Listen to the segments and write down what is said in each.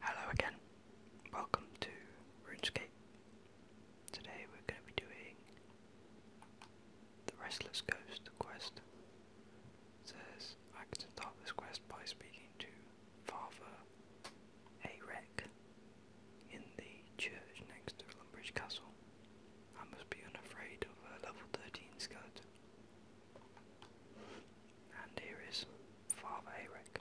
Hello again, welcome to RuneScape. Today we're going to be doing the Restless Ghost quest. says I can start this quest by speaking to Father Arek in the church next to Lumbridge Castle. I must be unafraid of a level 13 skeleton and here is Father Eric.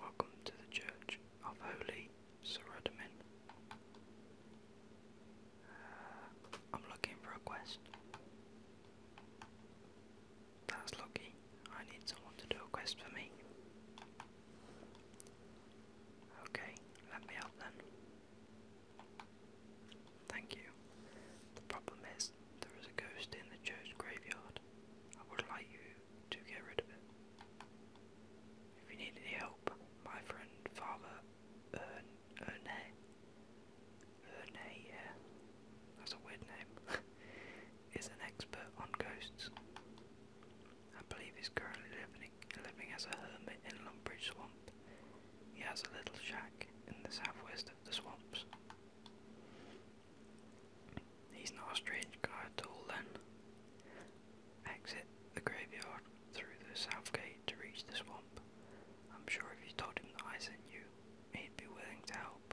Welcome to the Church of Holy Sorodamin. Uh, I'm looking for a quest. That's lucky. I need someone to do a quest for me. Okay, let me out then. Thank you. The problem is, there is a ghost in the church graveyard. I would like you to get rid of it. If you need any help, my friend Father Erne, Erne, yeah, that's a weird name, is an expert on ghosts. I believe he's currently living, living as a hermit in Lumbridge Swamp. He has a little shack in the southwest of the swamps, He's not a strange guy at all then. Exit the graveyard through the south gate to reach the swamp. I'm sure if you told him that I sent you, he'd be willing to help.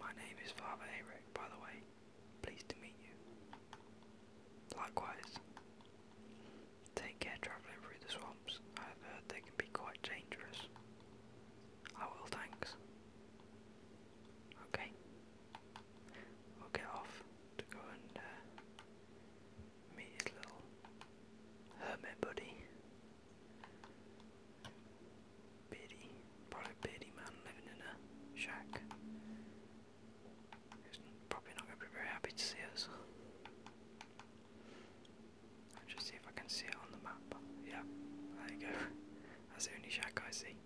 My name is Father Eric, by the way. Pleased to meet you. Likewise. Take care travelling through the swamps. I've heard they be quite dangerous. I will, thanks. Okay. we off to go and uh, meet his little hermit buddy. Beardy, probably beardy man living in a shack. He's probably not going to be very happy to see us. I'll just see if I can see it on the map. Yeah, there you go. That's the only shack I see.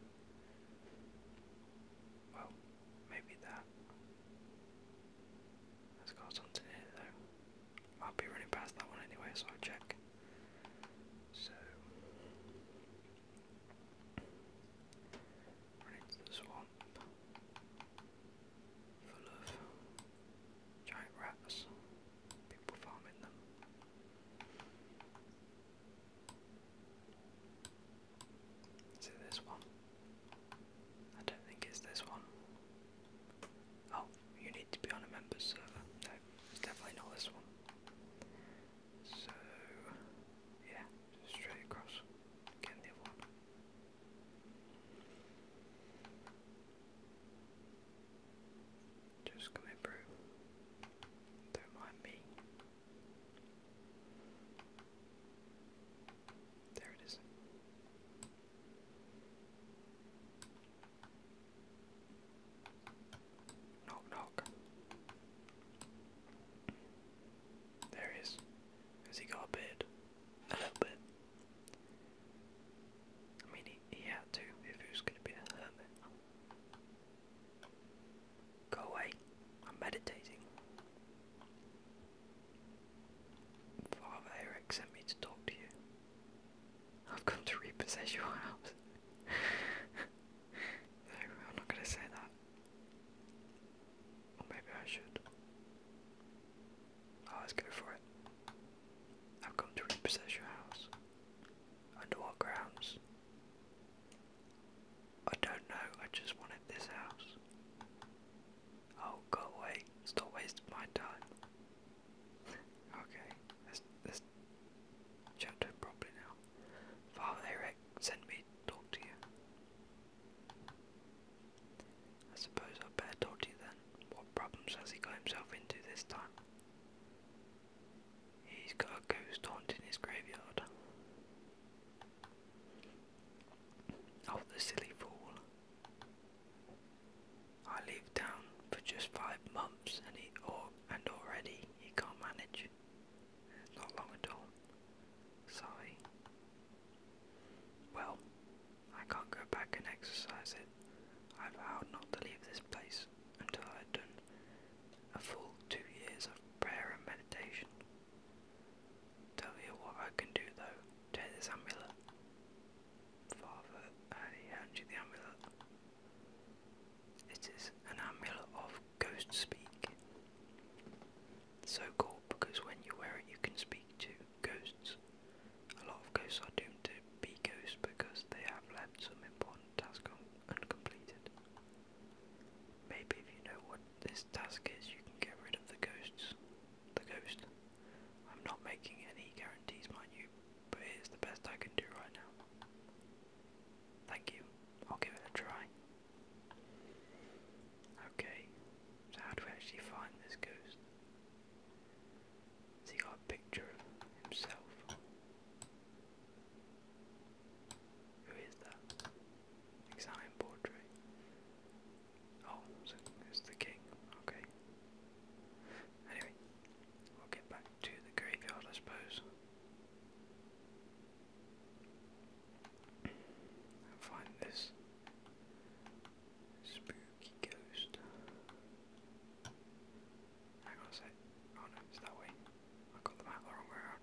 Well, maybe that. That's got something in though. I'll be running past that one anyway, so I'll check. So into the swamp full of giant rats, people farming them. Is this one? I don't think it's this one. Oh, you need to be on a member server. No, it's definitely not this one. So, yeah, straight across. Again, the other one. Just coming through. Don't mind me. There it is. Knock, knock. There he is. Has he got a beard? A little bit. I mean, he, had to if he going to be a Go away, I'm meditating. Father Eric sent me to talk to you. I've come to repossess your house. I'm not going to say that. Or maybe I should. Oh, let's for it. I've come to repossess your house. Under what grounds? I don't know, I just wanted this house. Oh, go away. Stop wasting my time. okay, let's, let's chat to properly now. Father Eric, send me talk to you. I suppose I'd better told you then. What problems has he got himself into this time? He's got a ghost haunting his graveyard. Oh, the silly fool. I lived down for just five months and he or and already he can't manage. It's not long at all. Sorry. Well, I can't go back and exercise it. I vowed not to leave this place until I have done a full two years of prayer and meditation. Tell you what I can do though. Take this amulet. Father, I hand you the amulet. It is an amulet of ghost speak. So called because when you wear it, you can speak to ghosts. A lot of ghosts are doomed to be ghosts because they have left some important task uncompleted. Maybe if you know what this task is, you can get rid of the ghosts. The ghost. I'm not making any guarantees, mind you, but it is the best I can do right now. Thank you. I'll give it a try. Okay, so how do we actually find this ghost? he got a picture of himself? Who is that? Examine portrait. Oh, it's the king. Okay. Anyway, we'll get back to the graveyard, I suppose. find this Spooky ghost. Hang on a sec. Oh no, it's that way. I got the map wrong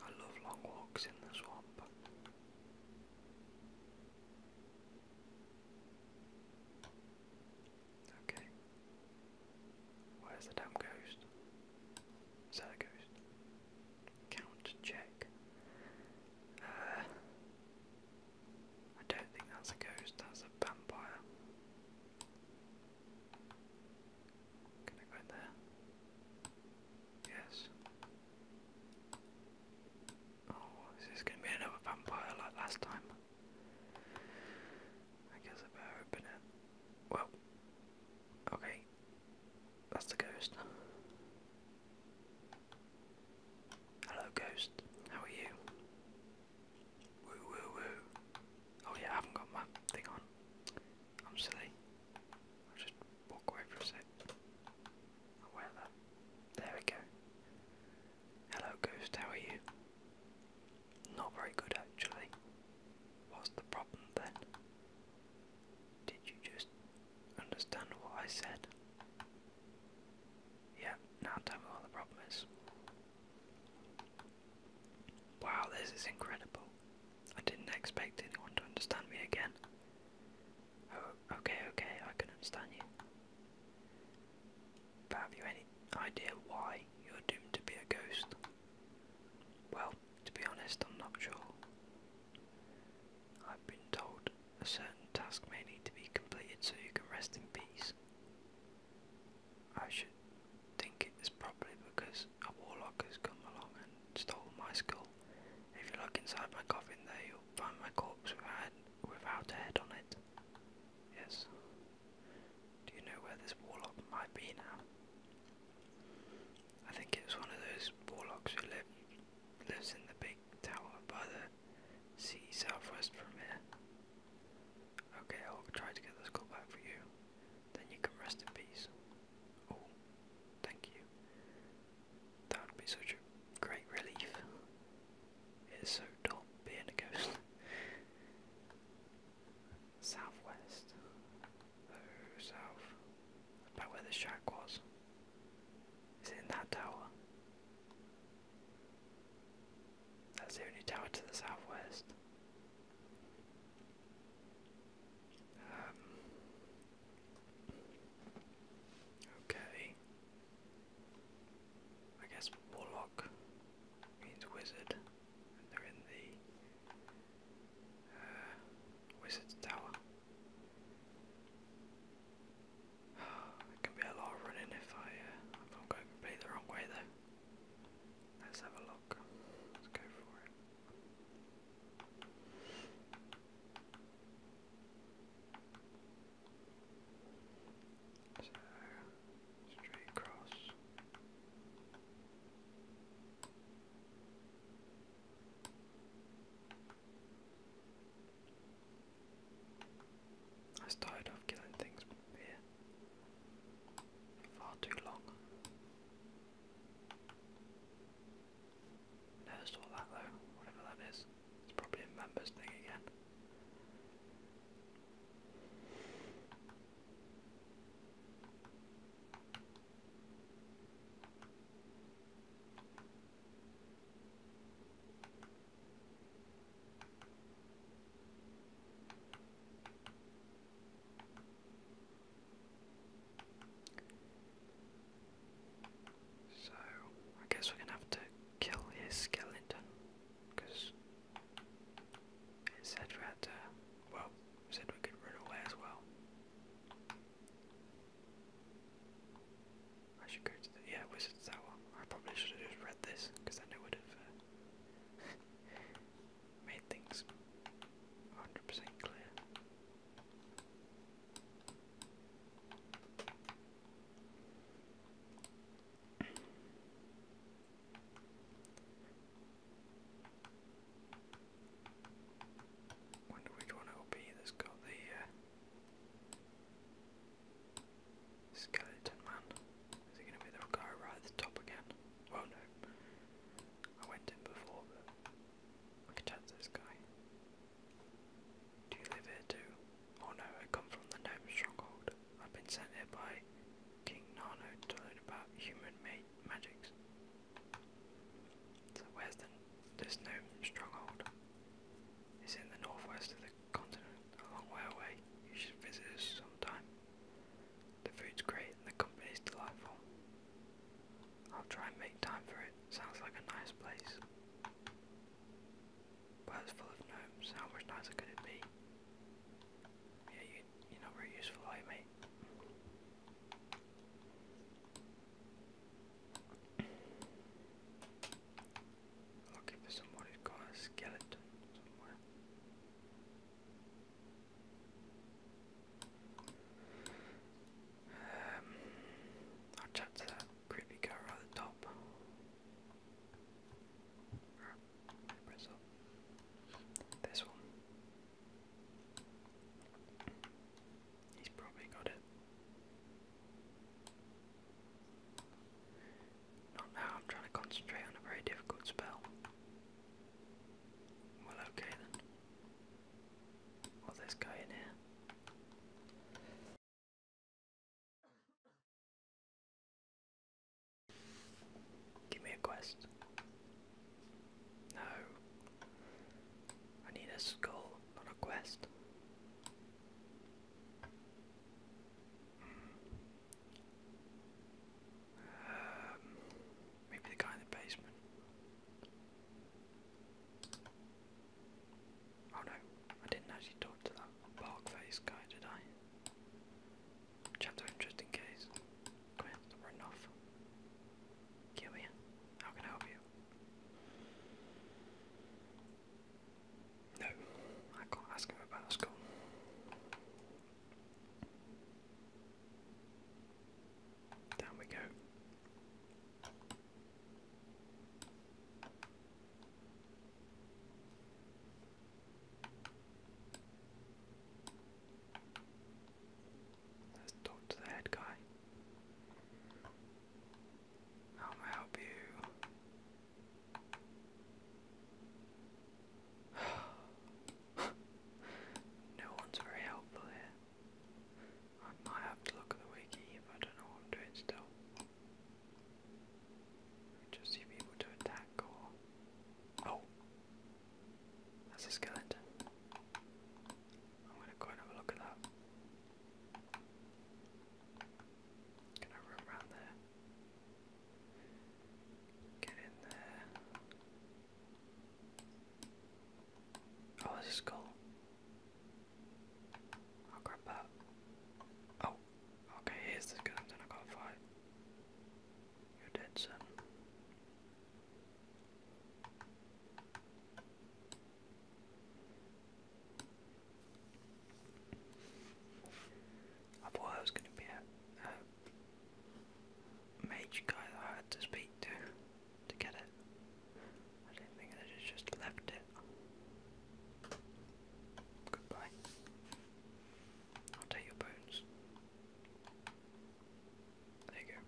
I love long walks in the swamp. Okay. Where's the damn ghost? Is that a ghost? Count check. Uh, I don't think that's a ghost, that's a vampire. Can I go in there? Yes. Oh, is this going to be another vampire like last time? I guess I better open it. Well, okay. That's the ghost. Hello, ghost. How are you? Woo woo woo. Oh yeah, I haven't got my thing on. I'm silly. I'll just walk away for a sec. I'll There we go. Hello, Ghost, how are you? Not very good, actually. What's the problem then? Did you just understand what I said? Yeah, now tell me what the problem is. Wow, this is incredible. I didn't expect anyone to understand me again. Oh, okay, okay, I can understand you. But have you any idea why you're doomed to be a ghost? Well, to be honest, I'm not sure. I've been told a certain task may need to be completed so you can rest in peace. I should think it is probably because a warlock has come along and stole my skull. If you look inside my coffin there, you'll find my corpse without, without a head on it. Yes. Do you know where this warlock might be now? I think it was one of those warlocks who live, lives in the big tower by the sea southwest from here. Okay, I'll try to get the skull back for you. Then you can rest in peace. Oh, thank you. That would be such a great relief. It's so dull being a ghost. Southwest. Oh, south. About where the shack was. Is it in that tower? That's the only tower to the southwest. Um, Okay. I guess warlock means wizard. And they're in the uh, wizard's tower. It can be a lot of running if I uh, completely the wrong way though. Let's have a look. Let's go for it. So straight across. I started off killing things here far too long. Never saw that though, whatever that is. It's probably a members thing again. So I guess we're gonna have to kill his skeleton it said we well said we could run away as well. I should go to the yeah wizard's tower. I probably should have just read this then it would have uh, made things 100% clear. Wonder which one it will be that's got the uh, skeleton man. Is it going to be the guy right at the top again? Well, no. I went in before, but I could chat this guy. Do you live here too? Oh no, I come from the Noble Stronghold. I've been sent here by King Nano to learn about human made magics. So where's the, this Stronghold? It's in the northwest of the continent, a long way away. You should visit us sometime. The food's great and the company's delightful. I'll try and make time for it. Sounds like a nice place. But it's full of gnomes. How much nicer could it be? Yeah, you, you're not very useful, are mate? Looking for someone who's got a skeleton somewhere. Um, I'll chat to that creepy guy around the top. This one. He's probably got it. Not now, I'm trying to concentrate on a very difficult spell. Well, okay then. What's this guy in here? Give me a quest. No. I need a skull, not a quest. Um, maybe the guy in the basement. Oh no, I didn't actually talk to that bark face guy, did I? Chapter him case. Come here, run off. Kill How can I help you? No, I can't ask him about school. Down we go. Let's talk to the head guy. How may I help you? no one's very helpful here. I might have to look at the wiki if I don't know what I'm doing still. Just see people to attack or. Oh! That's a skeleton. I'm gonna go and have a look at that. Can I run around there? Get in there. Oh, there's a skull. I'll grab that. Oh, okay, here's the gun, then I got fight. You're dead, son. I thought I was gonna be a, a guy I had to speak to to get it. I didn't think I just left it. Goodbye. I'll take your bones. There you go.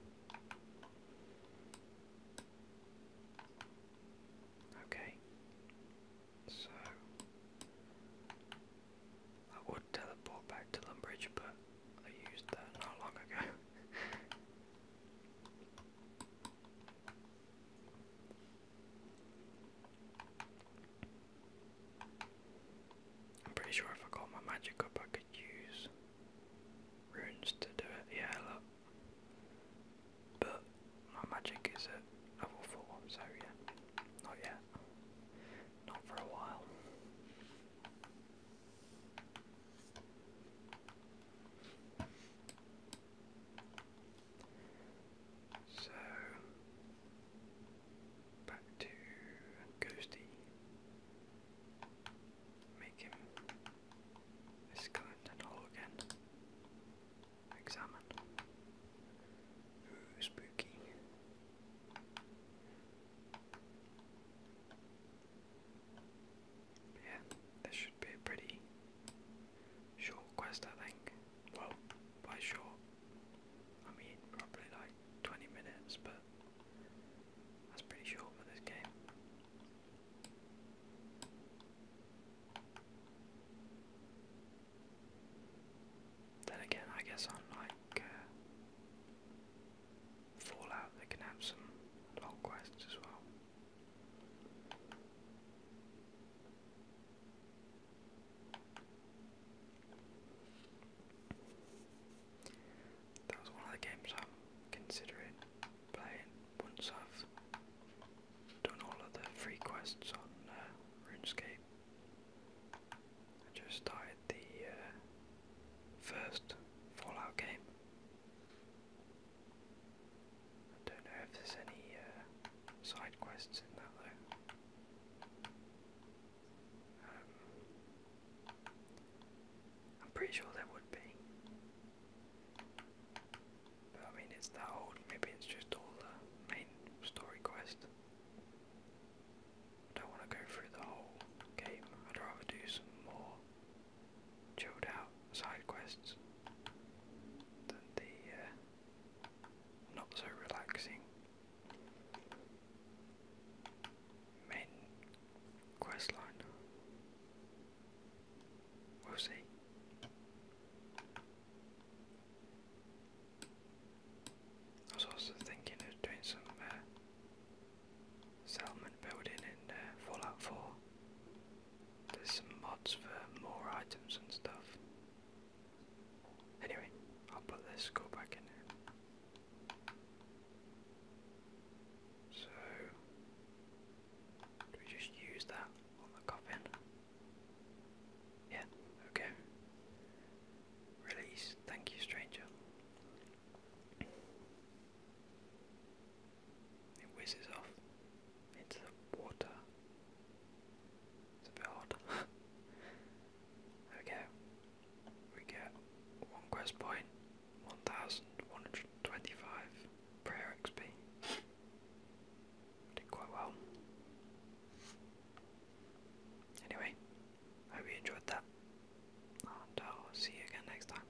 Okay. So I would teleport back to Lumbridge, but I used that not long ago. I'm pretty sure if I got my magic up, I could use runes to do it. Yeah, look. But my magic is at level 4, so yeah. Not yet. Not for a while. So back to Ghosty. Make him a skeleton hole again. Examine. Ooh, spooky. Yeah, this should be a pretty short quest, I think. Well, by short, I mean probably like 20 minutes, but that's pretty short for this game. Then again, I guess i uh, Fallout, they can have some long quests as well. That was one of the games I'm considering playing once I've done all of the free quests on uh, RuneScape. I just started the uh, first Fallout game. I don't know if there's any uh, side quests in that though. Um, I'm pretty sure there would be. But I mean, it's the old, maybe it's just all the main story quest. don't want to go through the whole game, I'd rather do some more chilled out side quests the uh, not so relaxing main quest line. We'll see. I was also thinking of doing some uh, settlement building in uh, Fallout 4. There's some mods for more items and stuff. Anyway, I'll put this go back in here. So, we just use that on the coffin? Yeah, okay. Release. Thank you, stranger. It whizzes off into the water. It's a bit odd. okay, we get one quest point, 1125 prayer XP. Did quite well. Anyway, hope you enjoyed that, and I'll see you again next time.